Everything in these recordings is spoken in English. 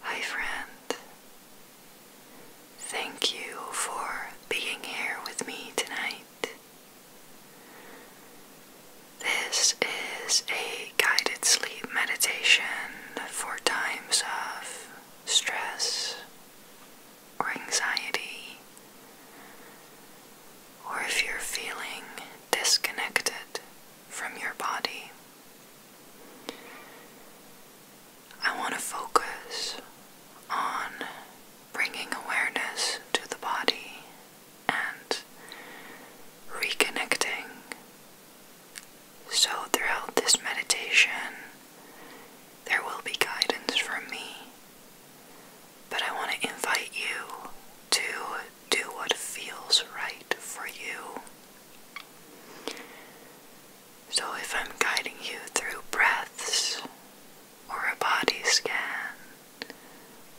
Hi, friend. Thank you for being here with me tonight. This is a guided sleep meditation for times of stress or anxiety, or if you're feeling disconnected from your body. I want to focus on bringing awareness to the body and reconnecting. So, throughout this meditation, there will be guidance from me, but I want to invite you to do what feels right for you. So, if I'm guiding you through breaths, or a body scan,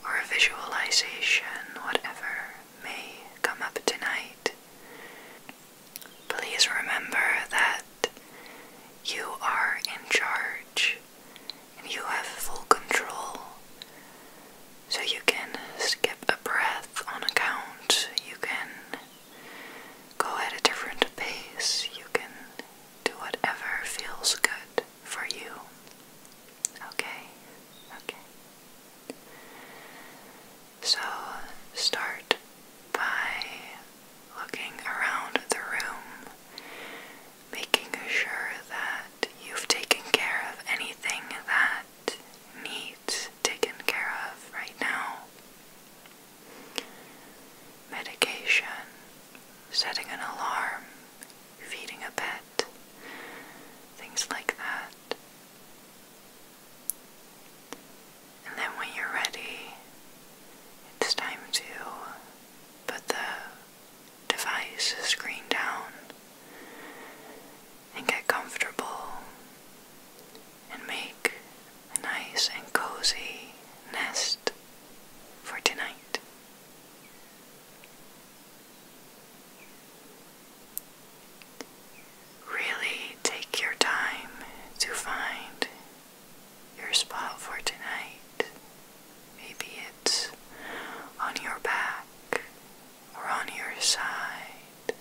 or a visualization, whatever may come up tonight, please remember that you are in charge and you have full control so you can skip a breath on a count, you can go at a different pace, you can do whatever feels good for you. Okay? Okay. So start by looking around the room, making sure that you've taken care of anything that needs taken care of right now. Medication, setting an alarm, feeding a pet, things like that. And then when you're ready, it's time to put the device screen down and get comfortable and make a nice and cozy nest for tonight. Really take your time to find your spot for tonight. Maybe it's on your back or on your side.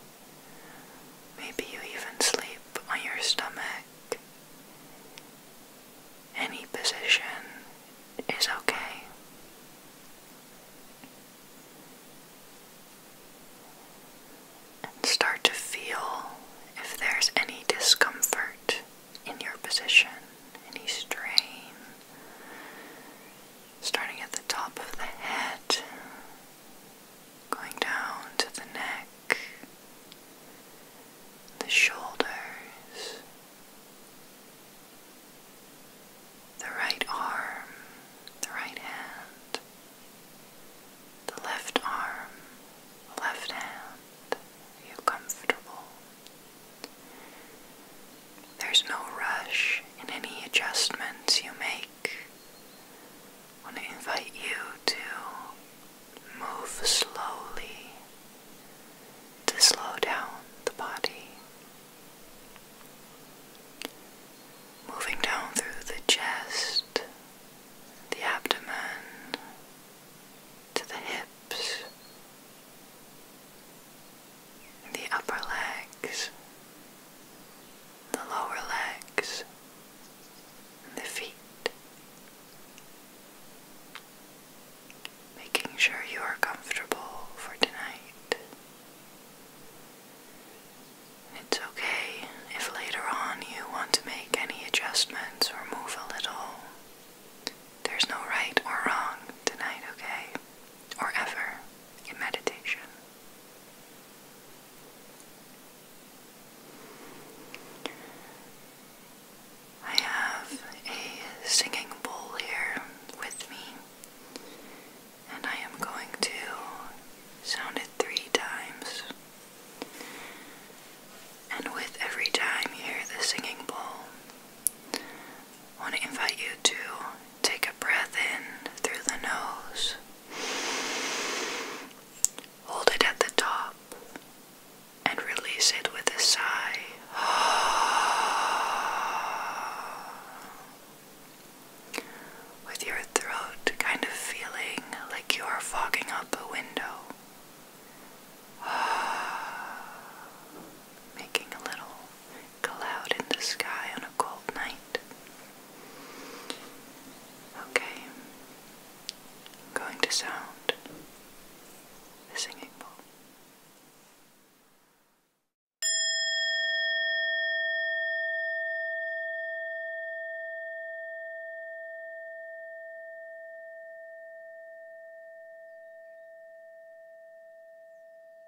Maybe you even sleep on your stomach. Any position is okay. And start to feel if there's any discomfort in your position, any strain, starting at the top of the head, going down to the neck, the shoulders, the right arm, the right hand, the left arm, the left hand. Are you comfortable? There's no rush in any adjustments you make. I want to invite you to move slowly to slow down the body. Moving down through the chest, the abdomen, to the hips, the upper legs, the lower legs, and the feet, making sure you are comfortable for tonight. It's okay if later on you want to make any adjustments or move a little. There's no right or wrong tonight, okay? Or ever in meditation. I have a singing bowl here with me, and I am going to sound it three times. And with every time you hear the singing bowl, I want to invite you to take a breath in through the nose. Hold it at the top and release it with a sigh. With your throat kind of feeling like you are fogging up a window. Making a little cloud in the sky on a cold night. Okay, going to sound the singing bowl.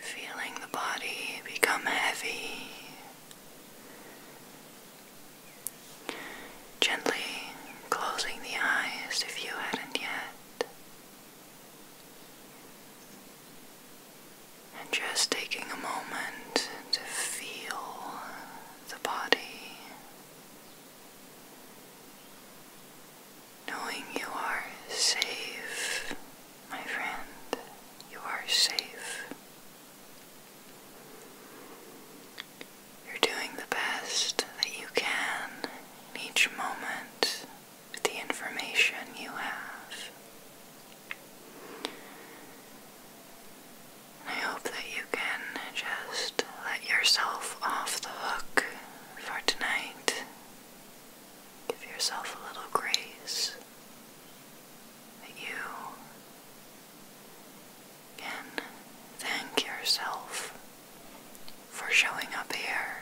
Feeling the body become heavy. Gently closing the eyes if you hadn't yet. And just taking a moment to feel the body knowing you are safe, my friend. You are safe. You're doing the best that you can in each moment with the information you have. I hope that you can just let yourself off the hook for tonight Give yourself a little grace that you can thank yourself for showing up here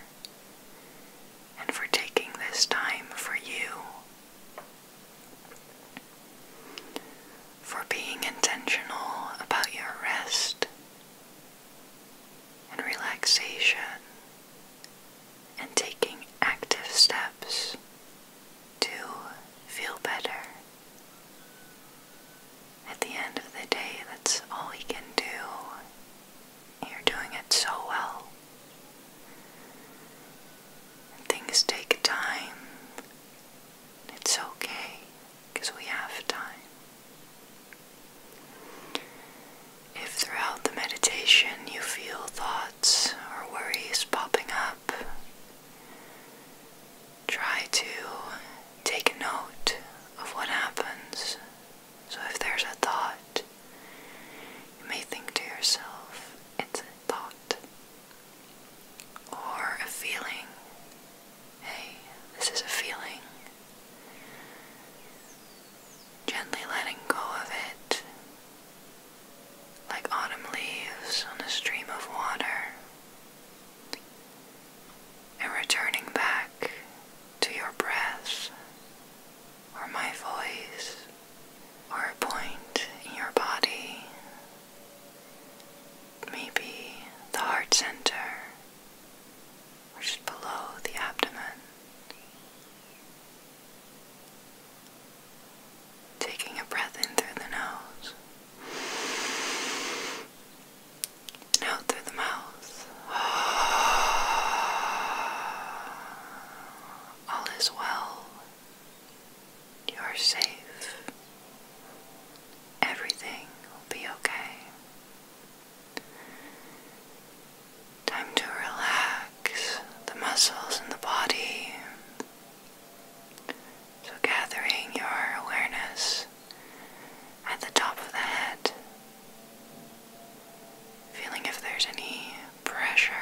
and for taking this time for you, for being intentional about your rest and relaxation and taking active steps to feel better. At the end of the day, that's all you can do. You're doing it so well. things take time. It's okay because we have time. If throughout the meditation you feel thoughts or worries popping up, try to take note of what happens. So if there's a thought, you may think to yourself, it's a thought. Or a feeling, hey, this is a feeling. Gently letting go of it, like autumn leaves on a stream of water, and returning back to your breath or my voice or a point in your body, maybe the heart center which just below the abdomen. Taking a breath in through the nose and out through the mouth. All is well. You are safe. Everything will be okay. Time to relax the muscles in the body. So, gathering your awareness at the top of the head, feeling if there's any pressure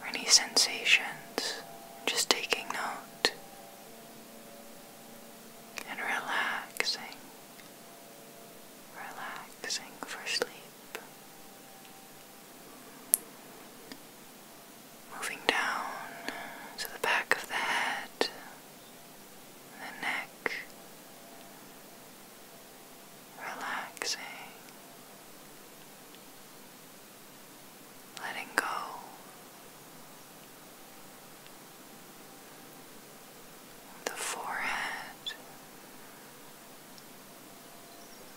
or any sensations, just taking note and relaxing relaxing for sleep. Moving down to the back of the head, the neck, relaxing, letting go the forehead,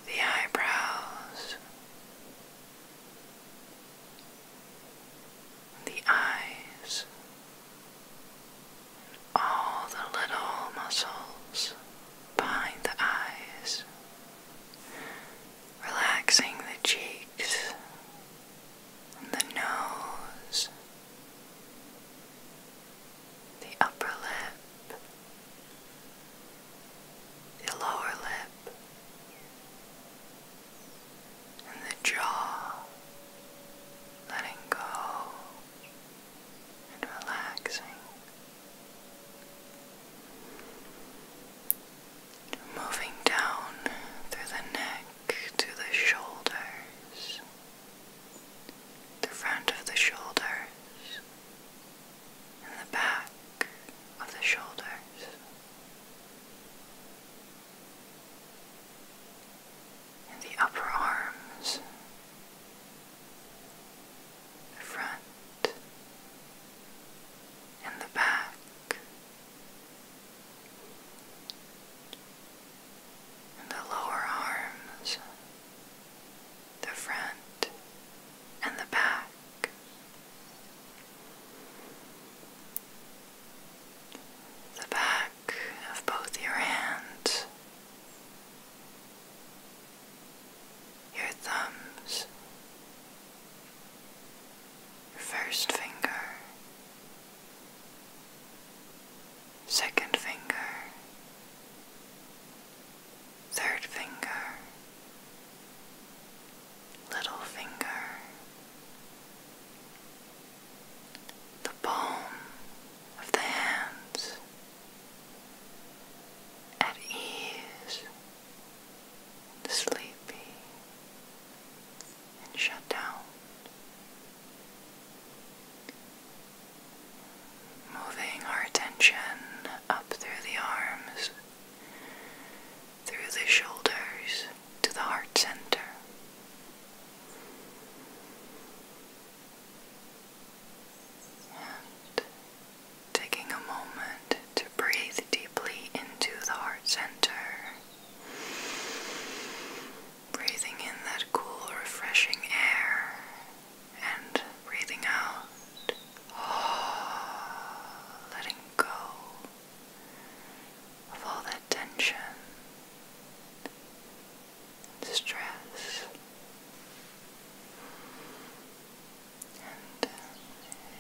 the eyebrows, the eyes, all the little muscles behind the eyes, relaxing the cheeks the nose, the upper lip, the lower lip, and the jaw, letting go and relaxing. Moving down through the neck to the shoulders, the front of the shoulders, and the back of the shoulders. And the upper arms, the front and the back the lower arms, the front and the back. The back of both your hands, your thumbs, your first finger, second finger, third finger, little finger, the palm of the hands, at ease, sleepy, and shut down. Moving our attention up through the arms, through the shoulders, to the heart center. And taking a moment to breathe deeply into the heart center Breathing in that cool, refreshing air and breathing out, letting go of all that tension stress. And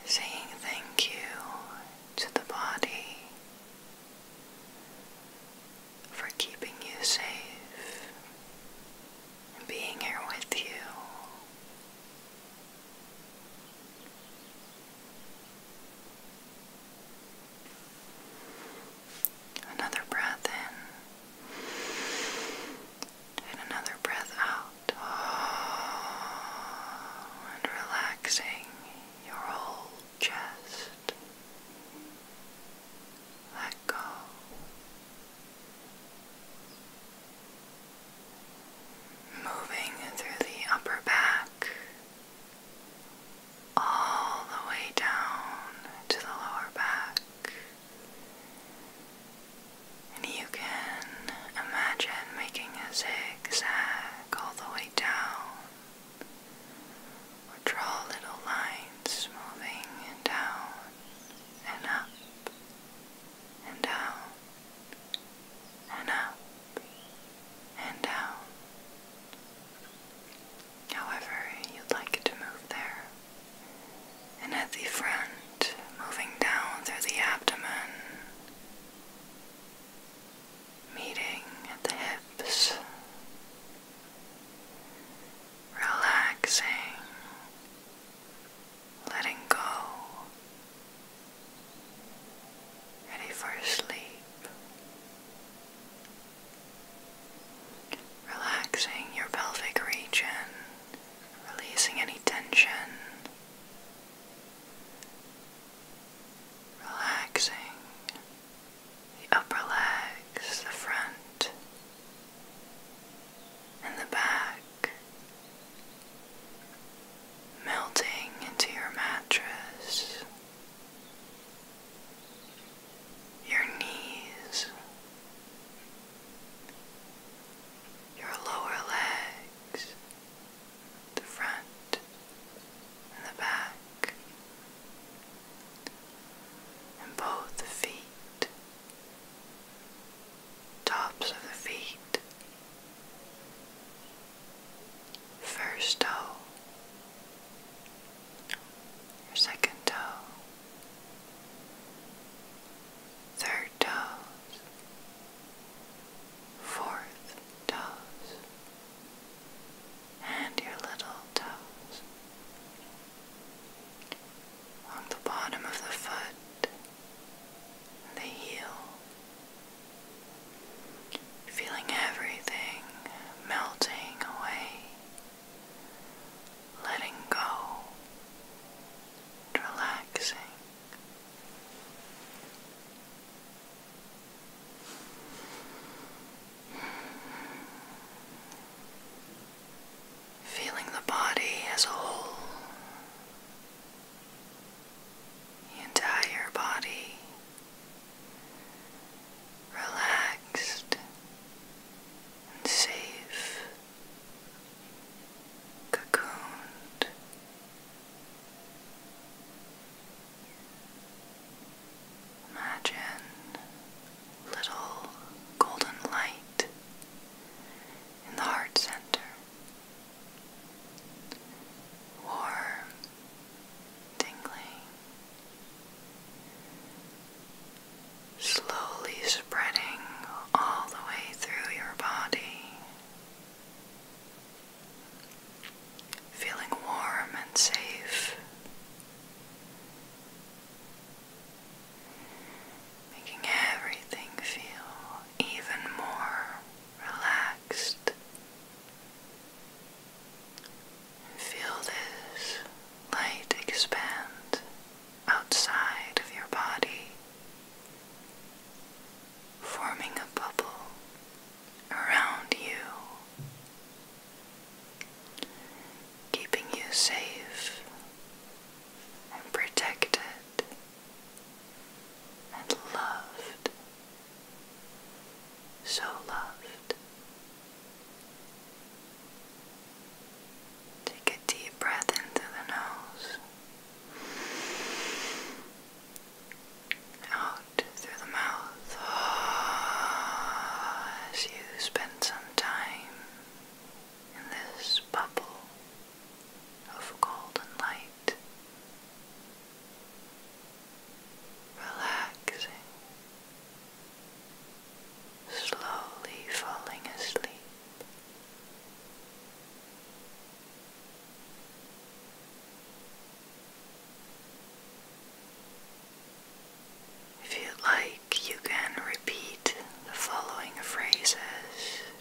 saying thank you to the body for keeping you safe and being here with you. Another breath in and another breath out. Oh, and relaxing your whole just Let go. Moving through the upper back, all the way down to the lower back. And you can imagine making a zigzag all the way down or draw little lines moving down and up and down and up and down. However, you'd like it to move there. And at the front, moving down through the abdomen meeting at the hips, relaxing, letting go, ready for sleep. Relaxing your pelvic region, releasing any tension, relaxing the upper legs, the front, and the back, melting into your mattress. Your knees, your lower legs, the front, the back, and both the feet, tops of the feet, first toe, second toe, third toe. fourth toes and your little toes. Along the bottom of the foot, the heel. Feeling everything melting away, letting go, relaxing. Feeling the body as a whole, the entire body relaxed and safe, cocooned. Imagine little golden light in the heart center, warm, tingling, slowly spreading all the way through your body feeling warm and safe, making everything feel even more relaxed. Feel this light expand outside of your body forming a bubble around you, keeping you safe and protected and loved, so loved. Take a deep breath into the nose out through the mouth as you spend some time in this bubble of golden light, relaxing, slowly falling asleep. If you like, you can repeat the following phrases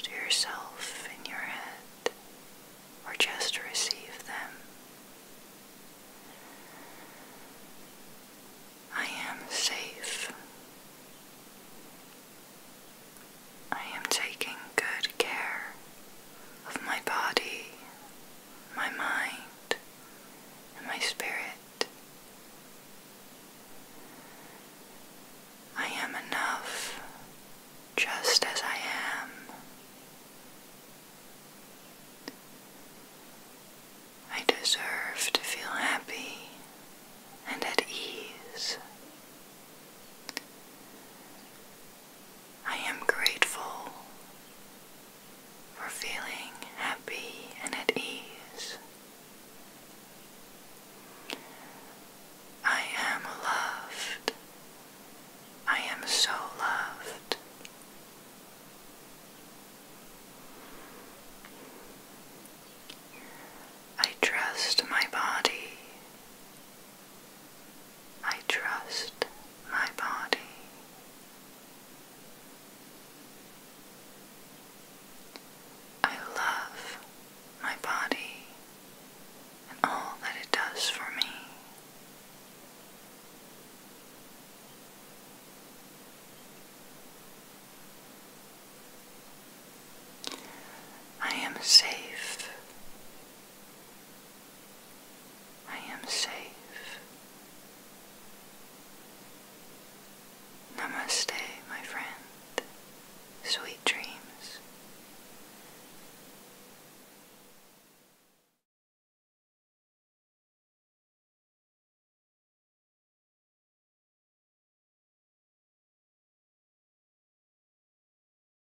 to yourself in your head or just receive them. I am safe. I am taking good care of my body, my mind, and my spirit. I am enough just as I am. I deserve to feel happy and at ease. I am grateful for feeling happy and at ease. I am loved. I am so loved. I trust my body. I trust my body. I love my body and all that it does for me. I am safe. I am safe. Namaste, my friend. Sweet dreams.